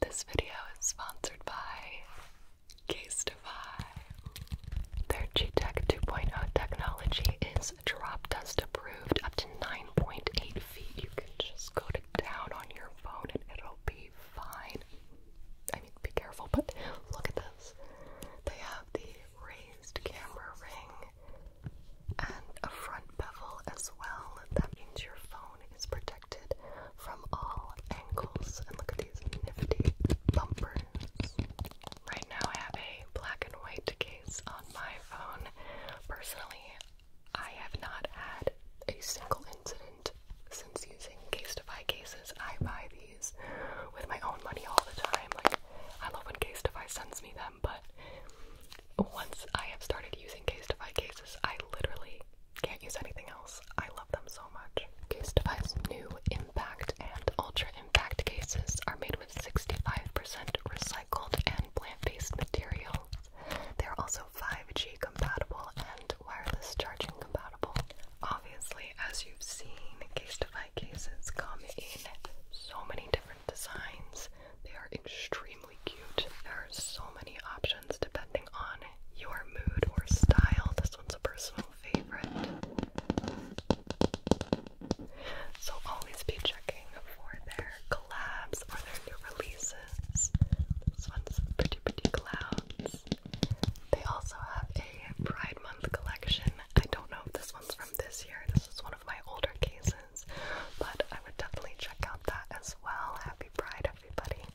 This video is sponsored by Casetify. Their G-Tech 2.0 technology is drop dust approved up to 9.8 feet. You can just go down on your phone and it'll be fine. I mean, be careful, but look at this. They have the raised camera ring and a front bevel as well. That means your phone phone protected from all angles. And look at these nifty bumpers. Right now, I have a black and white case on my phone. Personally, I have not had a single incident since using Case to Buy cases. I buy these with my own money all the time. Like, I love when Case sends me them, but once I have started using Case to Buy cases, I literally can't use anything else. I love them so much. Case Defy's new impact and ultra impact cases are made with 65% recycled and plant-based materials. They're also 5G compatible and wireless charging compatible. Obviously, as you've seen, Case Defy cases come in so many different designs. They are extremely cute. There are so many options depending on your mood or style. This one's a personal favorite. So always be checking for their collabs or their new releases. This one's Pretty Pretty Clouds. They also have a Pride Month collection. I don't know if this one's from this year. This is one of my older cases, but I would definitely check out that as well. Happy Pride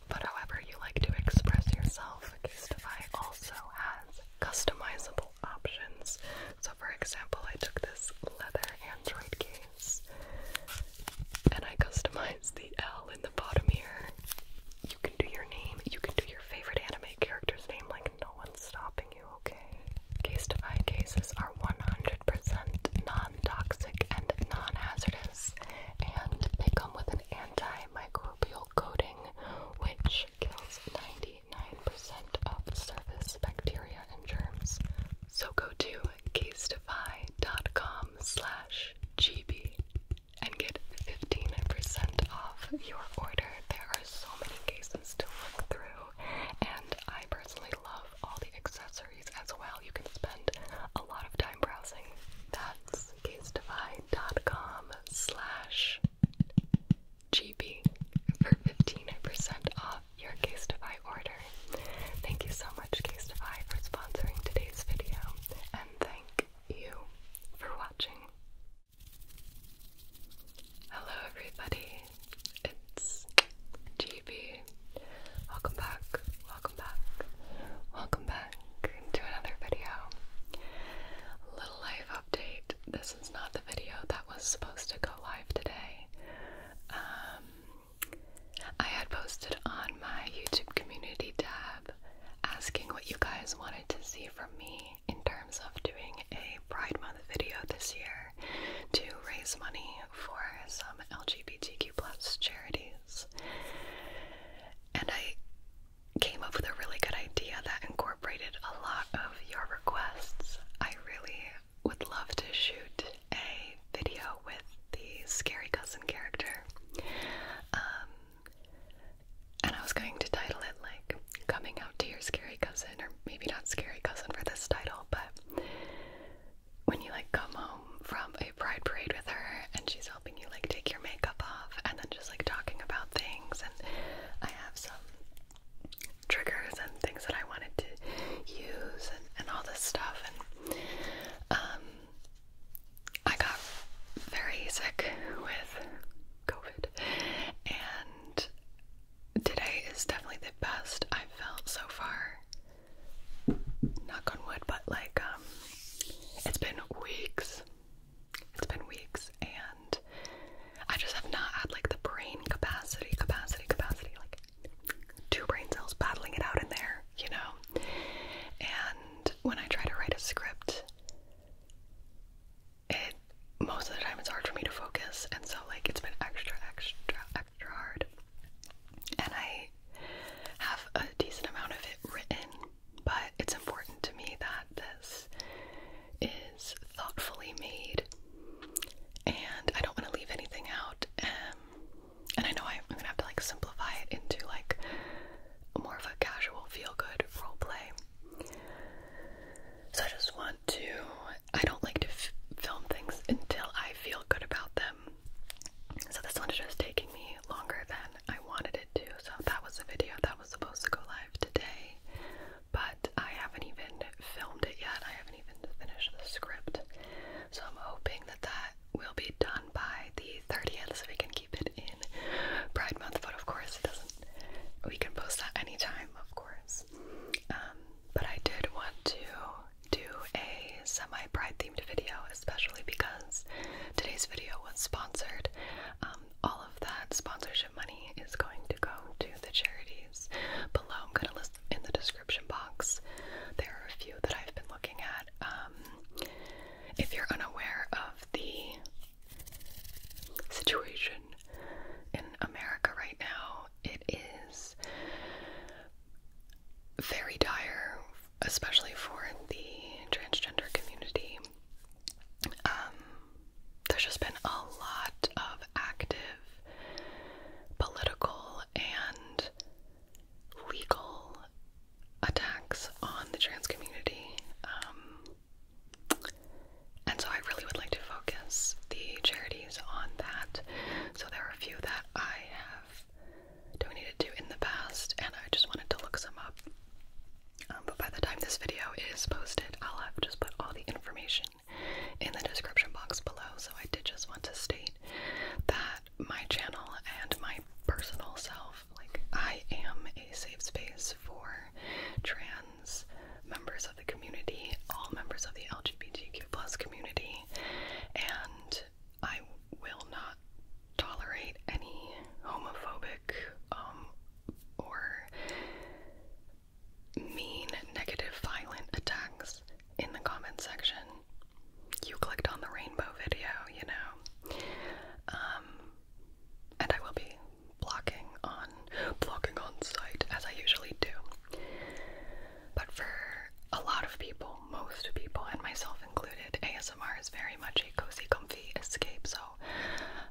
but however you like to express yourself, Castify also has customizable options. So for example, I took this leather Android case and I customized the L in the bottom here. You can do your name, you can do your favorite anime character's name, like no one's stopping you, okay? Castify cases are 100% non-toxic and non-hazardous and they come with an antimicrobial coating which kills 99% of surface bacteria and germs. So go to casetify.com slash gb and get 15% off your order. There are so many cases to look through and I personally love all the accessories as well. You can spend a lot of time browsing. That's casedivine.com GB for 15% off your Case order. Thank you so much, Case Defy, for sponsoring today's video, and thank you for watching. Hello, everybody. It's GB Welcome back, welcome back, welcome back to another video. Little life update. This is not the video that was supposed to go live today. Um, I had posted on my YouTube community tab asking what you guys wanted to see from me in terms of doing a Pride Month video this year to raise money for some LGBTQ plus charities. And I came up with a really good idea that incorporated a lot of your requests. I really would love to shoot a video with the scary cousin character. Um, and I was going to title it like Coming Out to Your Scary Cousin, or maybe not Scary Cousin for this title, but when you like come home from a pride parade with her and she's helping you like take your makeup off and then just like talking about things and I have some triggers and things that I wanted to use and, and all this stuff and um I got very sick with COVID and today is definitely the best I've felt so far knock on wood, but like um, it's been weeks. It's been weeks and I just have not had like the brain capacity, capacity, capacity, like two brain cells battling it out in there, you know? And when I try to write a script, it most of the time it's hard for me to focus and so like it's been extra extra extra hard and I have a decent amount of it written, but it's important to me that this is thoughtfully made and I don't want to leave anything out. and I know I'm gonna have to like simplify it into like more of a casual feel good role play. So I just want to, I don't like to film things until I feel good about them so this one is just taking me longer than I wanted it to. So that was a video that was supposed to go live today, but I haven't even filmed it yet. I haven't even finished the script. So I'm hoping that that will be done by the 30th so we can keep it in Pride Month, but of course it doesn't. We can post that anytime, of course. Um, but I did want to do a semi my themed video, especially because today's video was sponsored. Um, all of that sponsorship money is going to go to the charities below. I'm going to list in the description box. There are a few that I've been looking at. Um, if you're unaware of the situation in America right now, it is very dire especially for the transgender community, um, there's just been a lot of active political and legal attacks on the trans community. Um, and so I really would like to focus the charities on that. So there are a few that I have donated to in the past, and I just wanted to look some up. Um, but by the time this video is posted, I'll have just put all the information in the description box below. So I did just want to state that my channel and my personal self, like I am a safe space for trans members of the community, all members of the LGBTQ plus community, and I will not tolerate any homophobic um, or mean, negative, violent attacks in the comment section. You clicked on the rainbow video, you know. Um, and I will be blocking on blocking on site as I usually do. But for a lot of people, most people, and myself included, ASMR is very much a cozy, comfy escape. So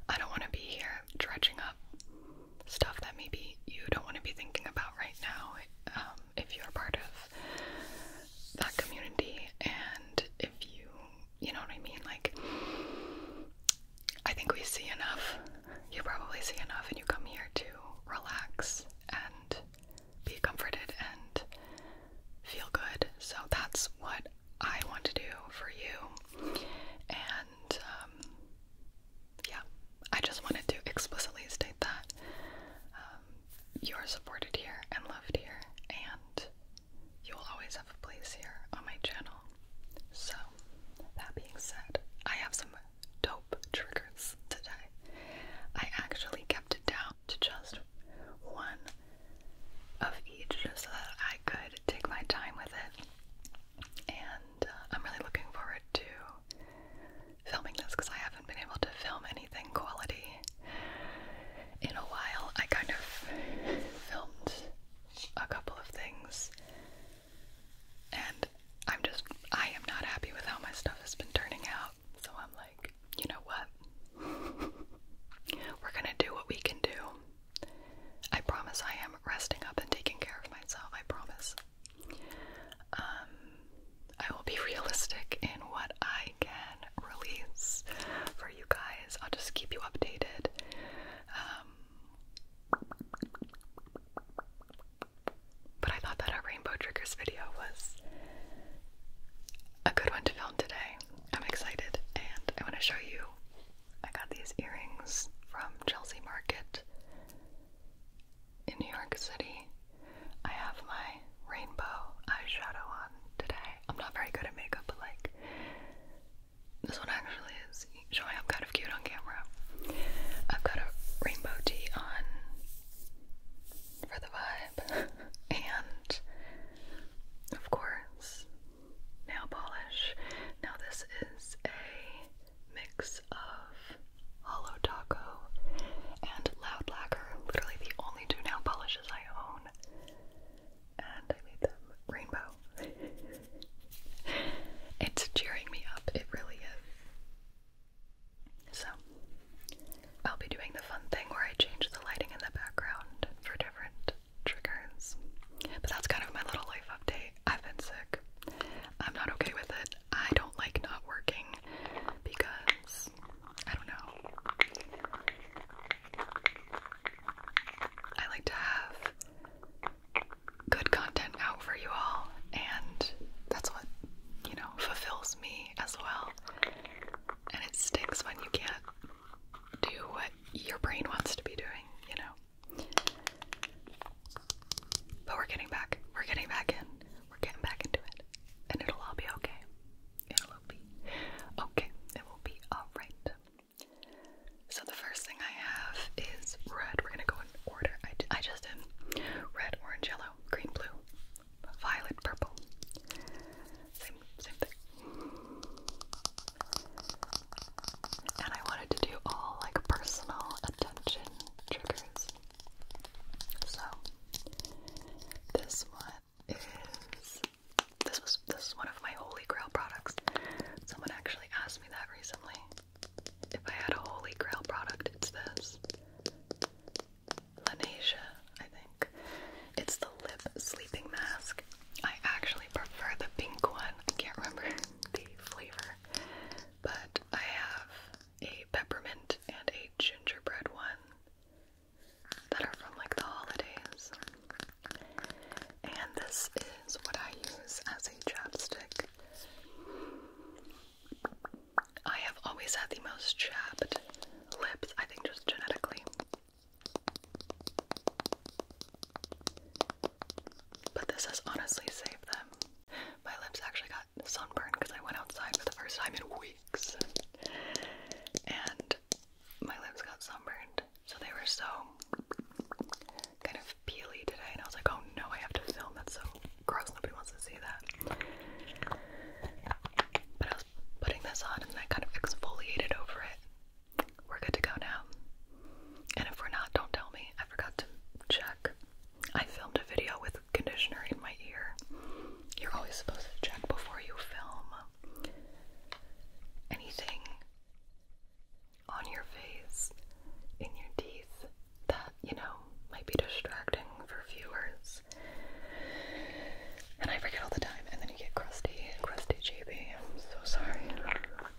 I don't want to be here dredging up stuff that maybe you don't want to be thinking about right now um, if you're part of that community and if you, you know what I mean? Like, I think we see enough. You probably see enough, and you come here to relax and be comforted and feel good. So that's what I want to do for you. And um, yeah, I just wanted to explicitly state that um, you are supported here and loved here, and you will always have a place here on my channel. So, that being said, I have some dope triggers today. I actually kept it down to just one of each just so that I could take my time with it. And uh, I'm really looking forward to filming this because I haven't been able to film anything quality in a while. I kind of filmed a couple of things and I'm just, I am not happy with how my stuff has been turning out. So I'm like, you know what? We're gonna do what we can do. I promise I am resting up and taking care of myself. I promise. Um, I will be realistic in what I can release for you guys. I'll just keep you updated. Um, but I thought that our rainbow triggers video was a good one to film today. I'm excited and I want to show you. I got these earrings from Chelsea Market in New York City. I have my rainbow eyeshadow on today. I'm not very good at makeup, but like this one actually is showing up kind of cute on camera. I've got a rainbow tee on for the vibe, and of course, nail polish. Now, this is a mix of Hollow Taco and Loud Lacquer, literally the only two nail polishes I own. And I made them rainbow. it's cheering me up, it really is. So, I'll be doing the fun thing where I change the lighting in the background for different triggers. But that's kind of my little life update. I've been sick. I'm not okay with it. I don't like not working because I don't know. I like to have good content out for you all, and that's what, you know, fulfills me as well. And it stinks when you can't do what your brain wants to be doing, you know. But we're getting back. We're getting back in. We're getting back into it. And it'll all be okay. It'll be okay. It will be alright. So the first thing I have is red. We're gonna go in order. I, I just did red, orange, yellow, green, blue, violet purple. Same, same thing. And I wanted to do all like personal attention triggers. So this one is this was this is one of my holy grail products. Someone actually asked me that recently. If I had a holy grail product, it's this. Lanasia, I think. It's the lip sleeping mask. I actually prefer the pink one. I can't remember the flavor. But I have a peppermint and a gingerbread one that are from like the holidays. And this is what I use as a chapstick. I have always had the most chapped lips, I think just genetically. But this has honestly saved them. My lips actually got sunburned because I went outside for the first time in weeks. And my lips got sunburned. So they were so kind of peely today. And I was like, oh no, I have to film. That's so gross. Nobody wants to see that. But putting this on and then kind of exfoliate over it. We're good to go now. And if we're not, don't tell me. I forgot to check. I filmed a video with conditioner in my ear. You're always supposed to check before you film anything on your face, in your teeth, that, you know, might be distracting for viewers. And I forget all the time, and then you get crusty, crusty GB. I'm so sorry. I love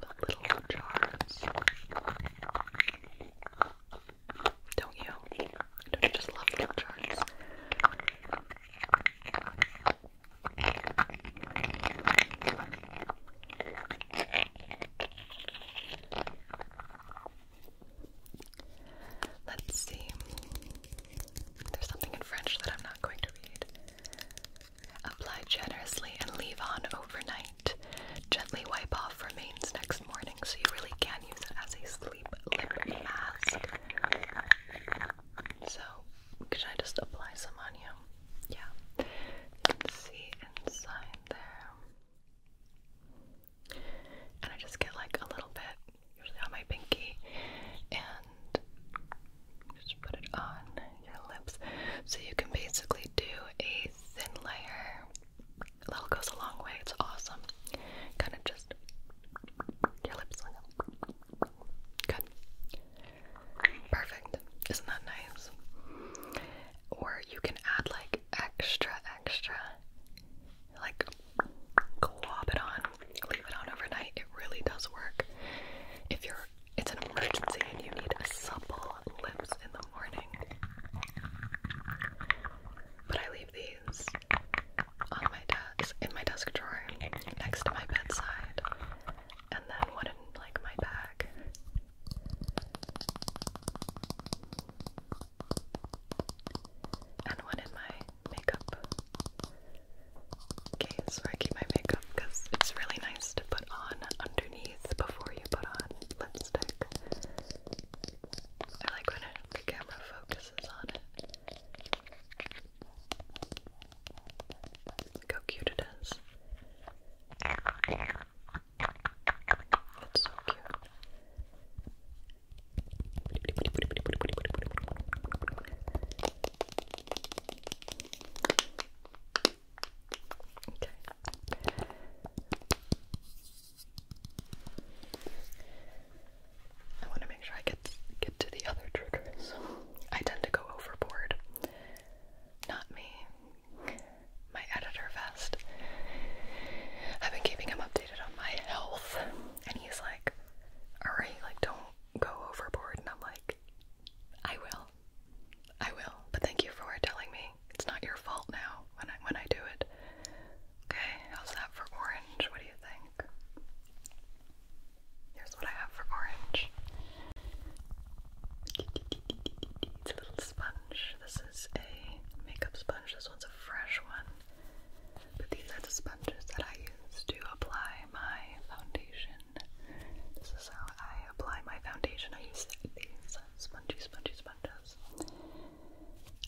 little jars. Don't you? Don't you just love little jars? Let's see. There's something in French that I'm not going to read. Apply generously and leave on overnight. Gently wipe off remains next morning so you really can use it as a sleep lip mask. So, could I just apply some on you? Yeah, see inside there. And I just get like a little bit, usually on my pinky, and just put it on your lips. So you can basically do a thin layer. That'll goes a long way, it's awesome. Kind of just your lips Good. Perfect. Isn't that nice? Or you can add like extra, extra, like glob it on, leave it on overnight. It really does work. If you're, it's an emergency and you need a supple lips in the morning. But I leave these on my desk, in my desk drawer, next to my bedside, and then one in like my bag and one in my makeup case where I keep my makeup because it's really nice to put on underneath before you put on lipstick. I like when the camera focuses on it. how cute it is. It's so cute. Okay. I want to make sure I get get to the other triggers. I tend to go overboard. Not me my editor vest. I've been keeping him updated on my health, and he's like, "Alright, like don't go overboard." And I'm like, "I will, I will." But thank you for telling me. It's not your fault now when I when I do it. Okay, how's that for orange? What do you think? Here's what I have for orange. It's a little sponge. This is a makeup sponge. This one's a fresh one. But these are the sponges that I use to apply my foundation. This is how I apply my foundation. I use these spongy, spongy sponges.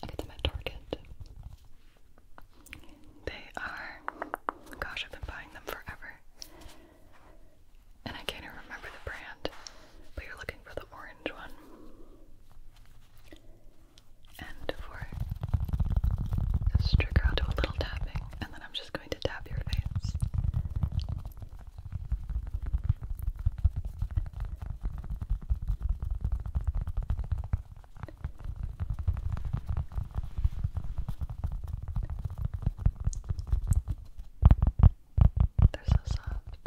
I get them at Target. They are, gosh, I've been buying them forever and I can't even remember the brand, but you're looking for the orange one. And for this trigger, i do a little tapping, and then I'm just going to tap your face. They're so soft.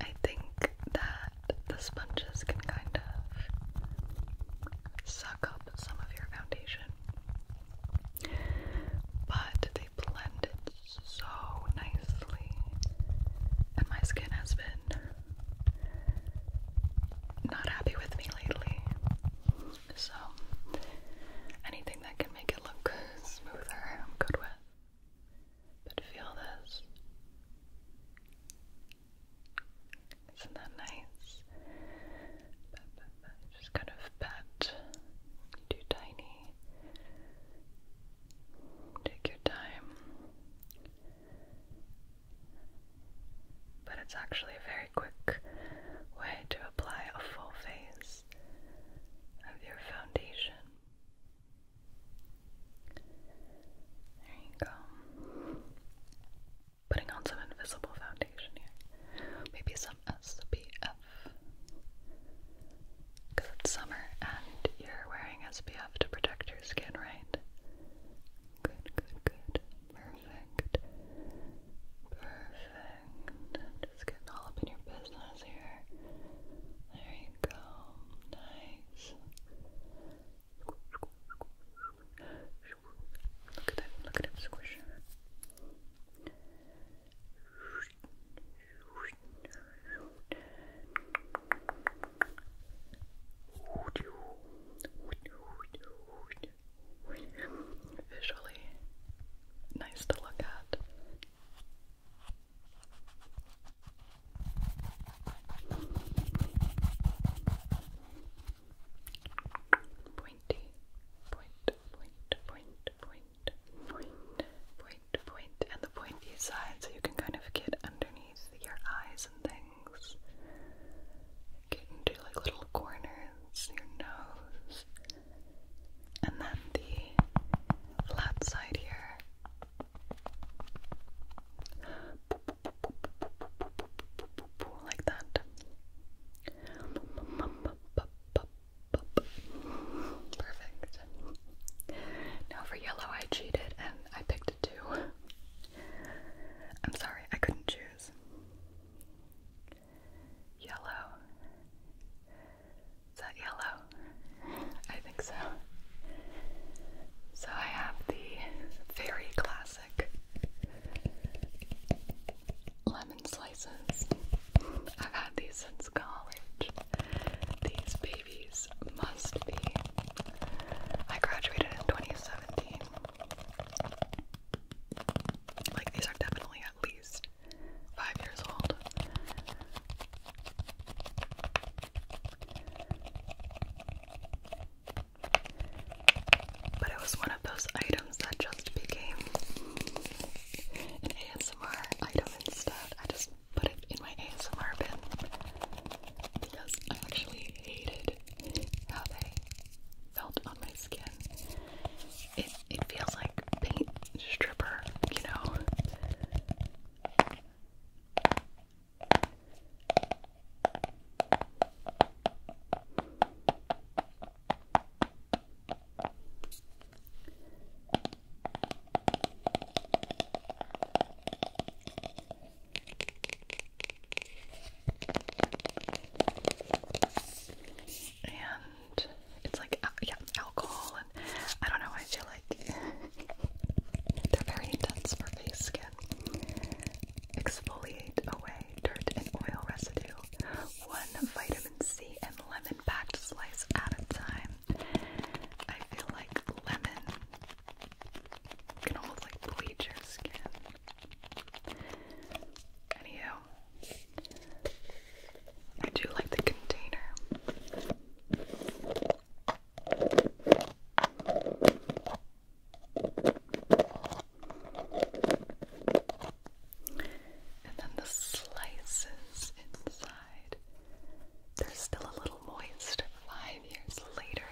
I think that the sponges can kind of suck up some of your foundation, but they blend it so nicely, and my skin has been not happy with me lately. So, anything that can make it look smoother, I'm good with. But feel this. Isn't that nice? just kind of pat. Too tiny. Take your time. But it's actually a very quick way to apply a full face of your foundation. There you go. Putting on some invisible foundation here. Maybe some SPF. Because it's summer and you're wearing SPF to protect your skin, right? Good, good, good. Perfect. Perfect. Perfect. just getting all up in your business here. There you go. Nice. Look at that. Look at him squish visually nice to look at. Pointy, point, point, point, point, point, point, point, and the pointy side, so you can kind of get underneath your eyes and things, get into like little corners, your nose and then the flat side here. Like that. Perfect. Now for yellow, I cheated and I picked two. I'm sorry, I couldn't choose. Yellow. Is that yellow? I think so. So I have the very classic lemon slices. I've had these since college. These babies must be. I graduated in 2017. Like, these are definitely at least five years old. But it was one of those items that just became an ASMR item instead. I just put it in my ASMR bin because I actually hated how they felt my skin. It it feels like paint stripper, you know. And it's like yeah, alcohol and I don't know. I feel like they're very intense for face skin. Exfoliate away dirt and oil residue. One vitamin C and lemon packed slice at a time. I feel like lemon can almost like bleach your skin. Anywho, I do like the container. And then the slices inside. They're still a little moist five years later.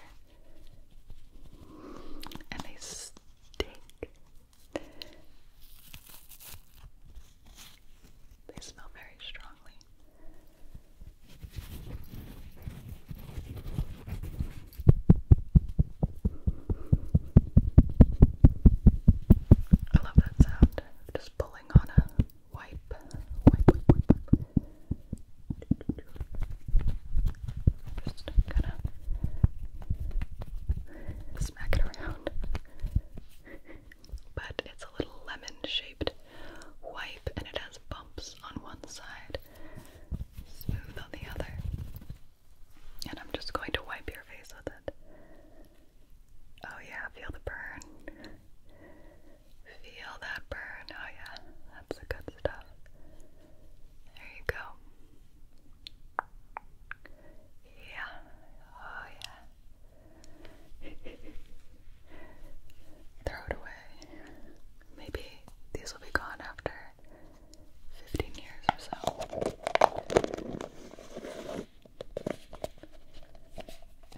And they stick they smell very strongly. I love that sound. Just pulling on a wipe. Just kind of smack around but it's a little lemon shaped wipe and it has bumps on one side, smooth on the other. And I'm just going to wipe your face with it. Oh, yeah, feel the burn. Feel that burn. Oh, yeah, that's the good stuff. There you go. Yeah. Oh yeah. Throw it away. Maybe these will be gone after 15 years or so.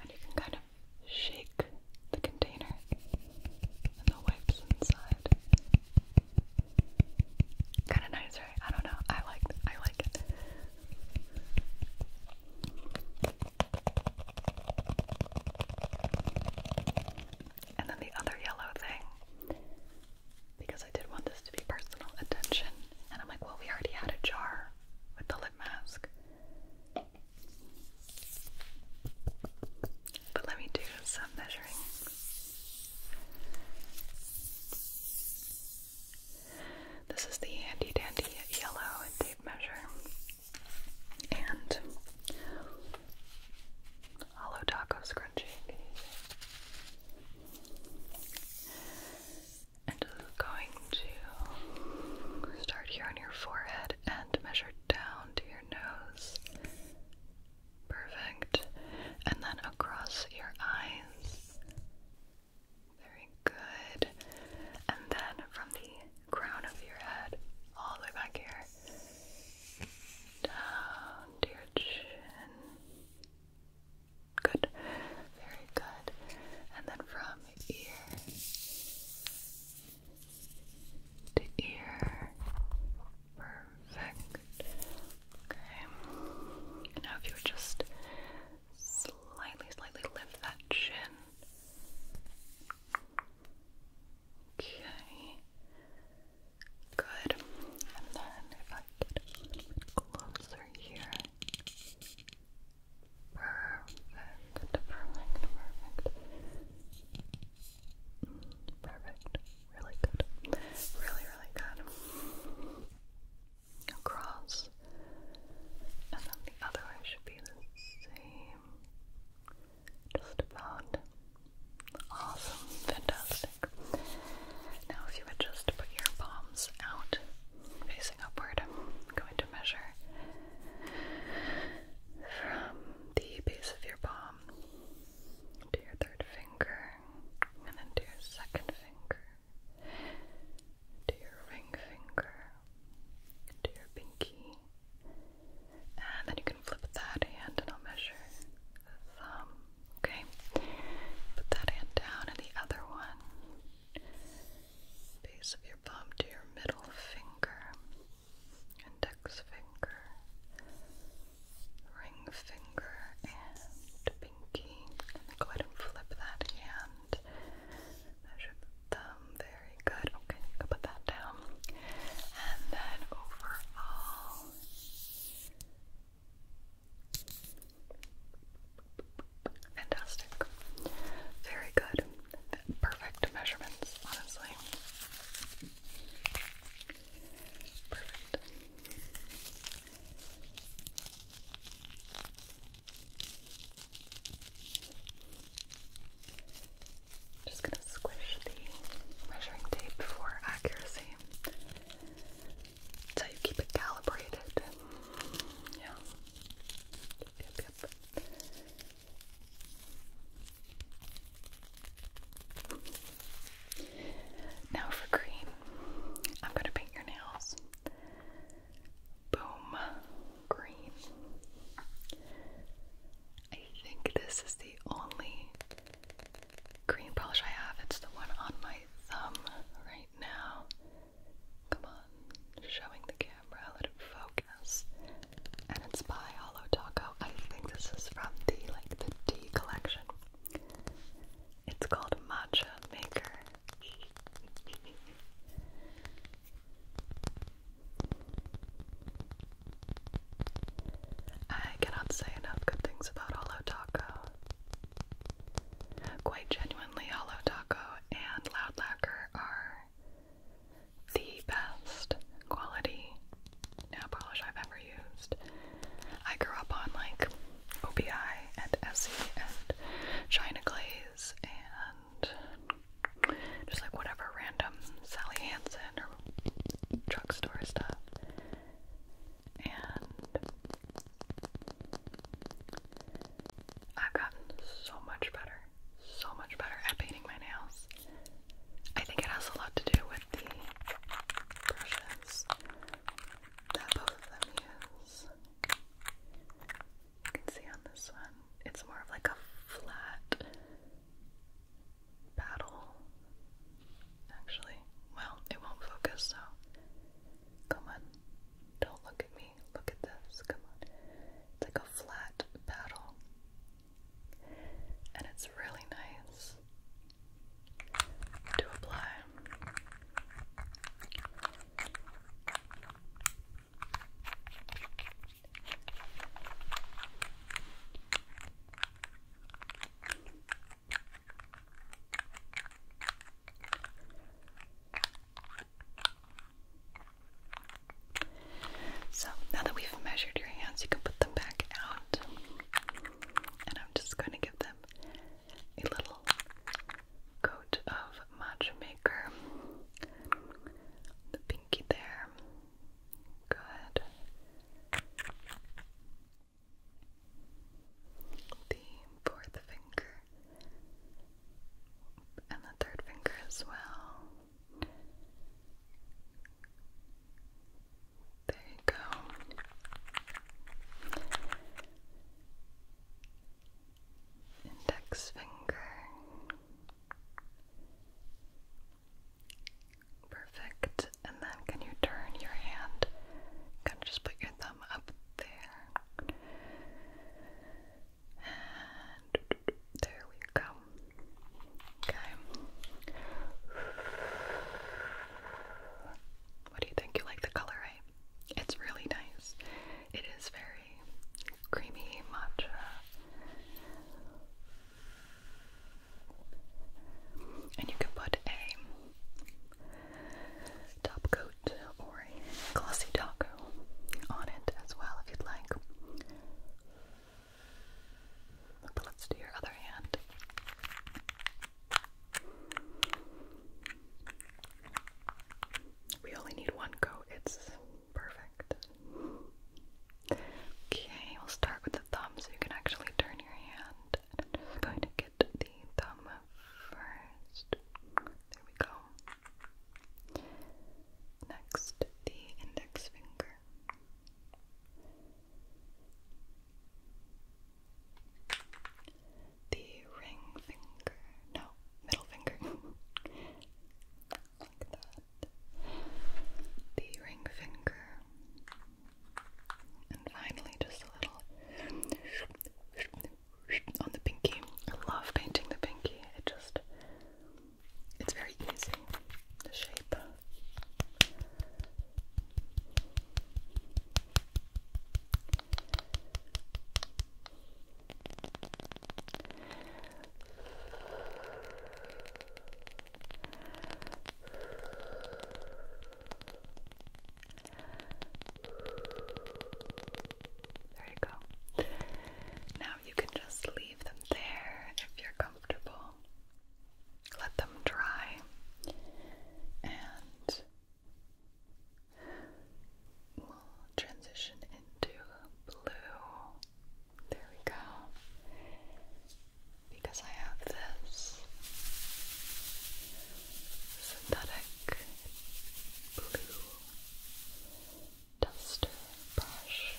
And you can kind of shake the container and the wipes inside. Kind of nice, I don't know. I like I like it. And then the other yellow thing, because I did want this to be personal attention, and I'm like, well, we already had a jar with the lip mask. But let me do some measuring. This is the handy dandy yellow tape measure and hollow taco scrunchie. And going to start here on your forehead and measure down to your nose. Perfect. And then across your eyes very good. And then from the crown of your head all the way back here down to your chin. Good. Very good. And then from ear to ear. Perfect. Okay. Now if you just Slightly, slightly lift that chin. Okay. Good. And then if I get closer here. Perfect. Perfect. Perfect. Mm, perfect. Really good. Really, really good across, and then the other eye should be the same. Just about. Awesome, fantastic. Now, if you would just put your palms out facing upward, I'm going to measure from the base of your palm to your third finger, and then to your second finger, to your ring finger, to your pinky, and then you can flip that hand and I'll measure the thumb. Okay, put that hand down and the other one, base of your palm to your middle finger, index finger, ring finger, and pinky. I'm gonna go ahead and flip that hand. Measure the thumb. Very good. Okay, I'm gonna put that down. And then overall. Fantastic. Very good. Perfect measurements, honestly. Perfect. Just gonna squish the measuring tape for accuracy. That's you keep it calibrated. Yeah. Now for green, I'm going to paint your nails. Boom. Green. I think this is the only green polish I have. It's the one on my thumb right now. Come on, showing the camera, let it focus. And it's by Holo Taco. I think this is from the like the D collection. It's called Matcha Maker. I cannot say enough good things about Holo Taco. Quite genuinely, Holo Taco and Loud Lacquer are the best quality nail polish I've ever used. I grew up on like OBI and Essie and China Glaze and just like whatever random Sally Hansen or drugstore stuff. And I've gotten so much better, so much better at painting my nails. I think it has a lot to do with the brushes that both of them use. You can see on this one, it's more of like a flat paddle. Actually, well, it won't focus, so come on. Don't look at me. Look at this. Come on. It's like a flat battle. And it's really nice to apply. So now that we've measured your hands, you can put them back out. And I'm just going to give them a little coat of matchmaker. The pinky there. Good. The fourth finger and the third finger as well. There you go index finger. Perfect. And then can you turn your hand? Kind just put your thumb up there. And there we go. Okay. What do you think? You like the color, right? It's really nice. It is very creamy matcha. And you can put a top coat or a glossy taco on it as well if you'd like. But let's do your other hand. We only need one coat, it's perfect. Okay, we'll start with the thumb so you can actually turn your hand. going to get the thumb first. There we go. Next, the index finger the ring finger, no, middle finger, like that, the ring finger, and finally just a little on the pinky. I love painting the pinky, it just, it's very easy, the shape. There you go. Now you can just leave them there if you're comfortable. Let them dry and We'll transition into blue. There we go. Because I have this synthetic blue duster brush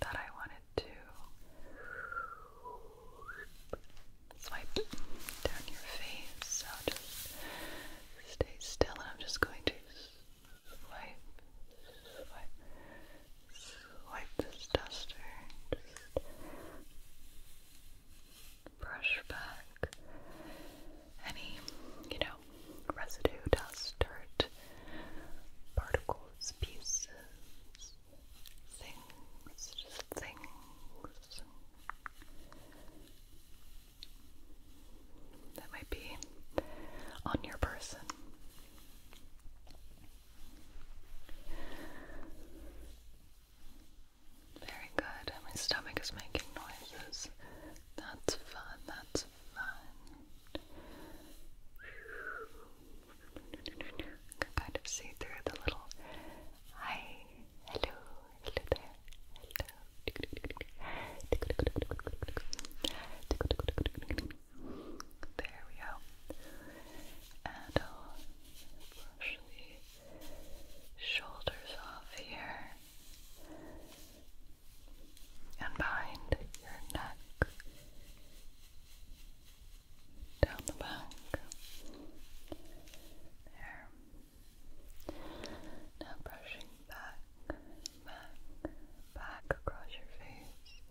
that I wanted to swipe down your face. So just stay still, and I'm just going to swipe, swipe, swipe this duster. Just brush back any, you know, residue, dust, dirt, particles, pieces things, just things that might be on your person. Very good. My stomach is making noises. That's fun. That's fun. can kind of see through the little eye Hello, hello there. Hello. There we go. And I'll brush the shoulders off here and behind your neck down the back. There. Now brushing back, back, back across your face.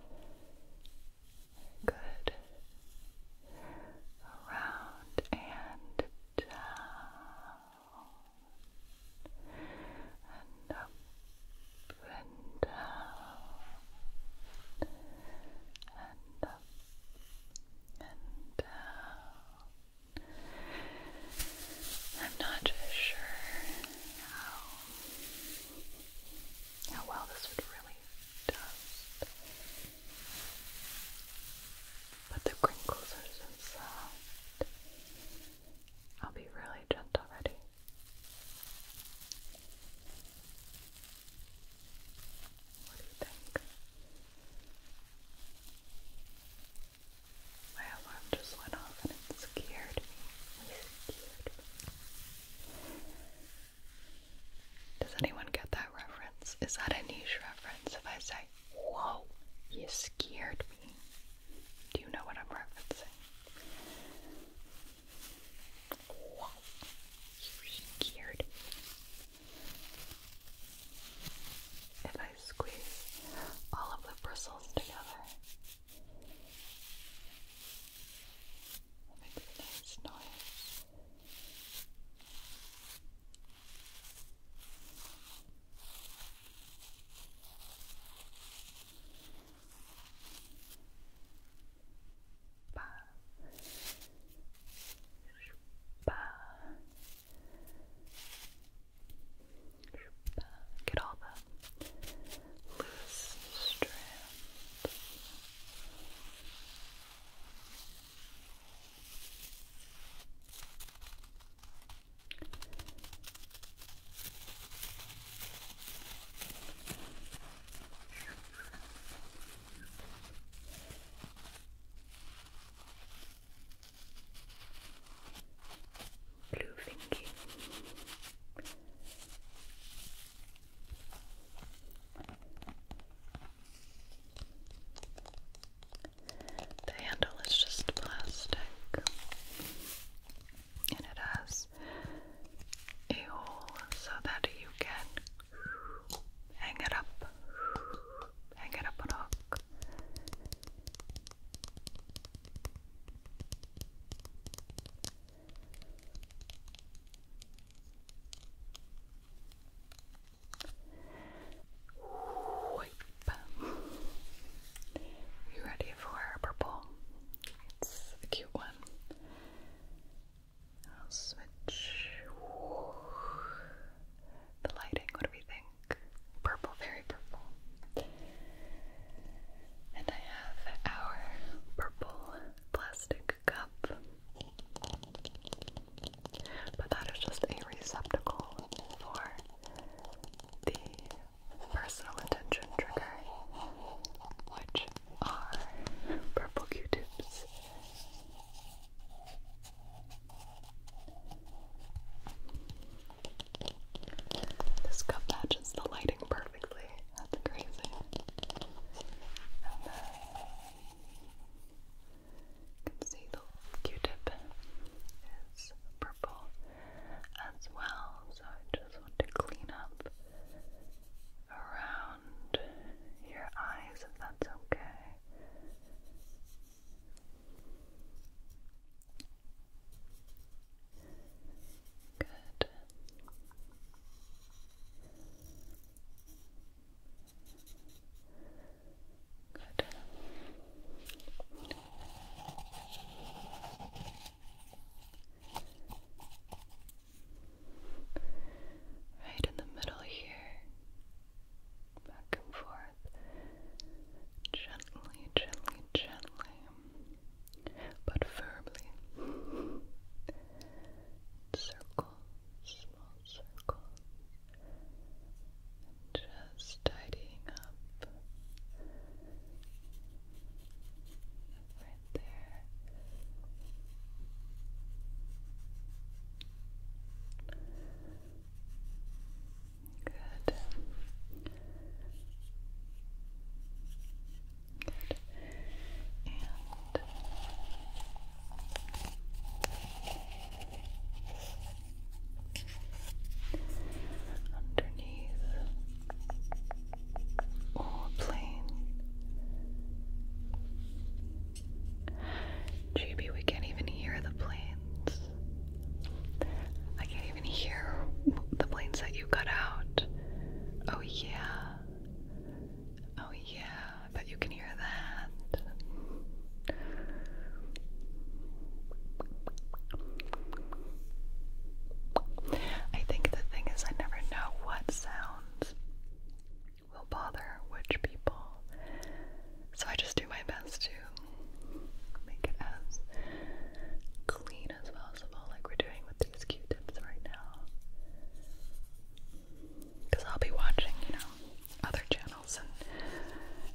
Good. Around and down. And up and down. And up uh, I'm not just sure how how well this would really dust, but the crinkles are so I'll be really gentle already. What do you think? My alarm just went off and it scared me. It scared Does anyone get that reference? Is that a niche reference if I say, Whoa, you scared me? Do you know what I'm referencing? Whoa, you scared me. If I squeeze all of the bristles together, it makes a nice noise. Spa. Spa. Spa. Get all the loose strands. Blue Finky. The handle is just plastic, and it has a hole so that you can Hang it up. Hang it up on a hook. You ready for purple? It's a cute one. I'll switch the lighting. What do we think? Purple, very purple. And I have our purple plastic cup. But that is just a receptacle for the personal attention trigger, which are purple Q tips. This cup matches the lighting perfectly. That's crazy. And then uh, you can see the Q-tip is purple as well, so I just want to clean up around your eyes if that's okay. Good. Good. Right in the middle here back and forth, gently, gently, gently, but firmly. Circles, small circles, just tidying up right there. Good. Good. And underneath or plain JB, we can't even hear the planes. I can't even hear the planes that you cut out. Oh, yeah. Oh, yeah. I bet you can hear that. I think the thing is, I never know what sounds will bother which people. So I just do my best to make it as clean as possible, like we're doing with these Q tips right now. Because I'll be watching, you know, other channels, and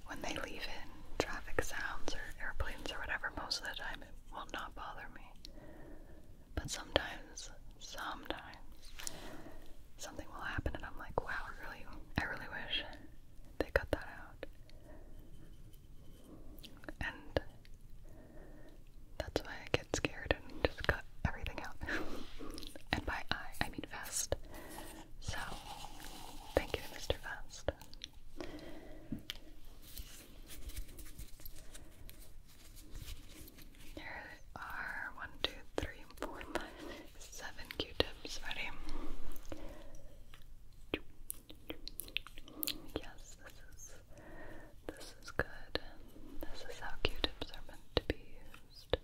when they leave in traffic sounds or airplanes or whatever, most of the time it will not bother me. But sometimes, sometimes something will happen and I'm like, wow, I really I really wish they cut that out. And that's why I get scared and just cut everything out. and by I, I mean fast. So, thank you Mr. Vest. Here are one, two, three, three, four, five, six, seven Q-tips. Ready? Yes, this is this is good. This is how Q-tips are meant to be used.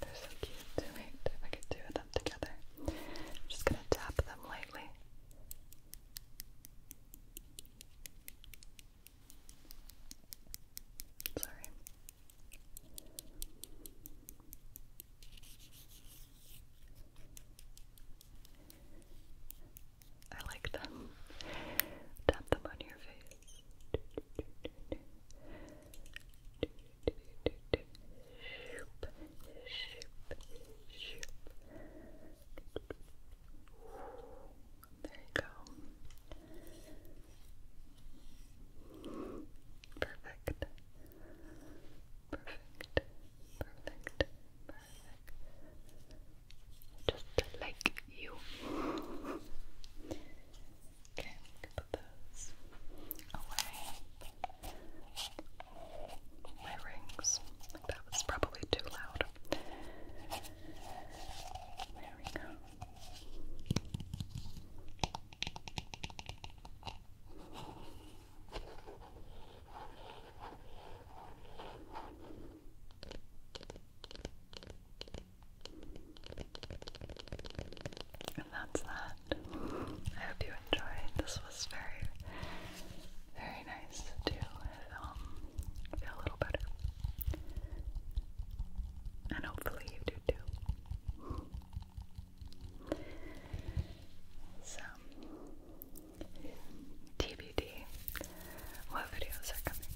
They're so cute. Wait, if I could do them together. I'm just gonna tap them lightly. Sorry. I like them. Tap them on your face. Shoop, shoop, shoop. There you go. Perfect. Perfect. Perfect. Perfect. Just like you. Okay, put those away my rings. that was probably too loud. There we go. And that's that. I hope you enjoyed. This was very, very nice to um, feel a little better. And hopefully you do too. So, TBD, what videos are coming?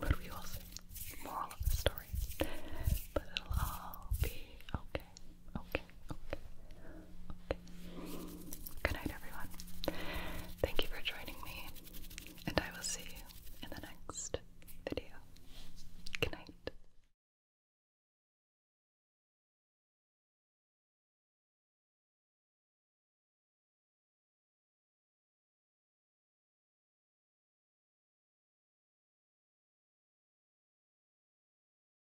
but we will see. Moral of the story. But it'll all be okay. Okay, okay, okay. Good night, everyone. Thank you for joining me, and I will see you in the next video. Good night.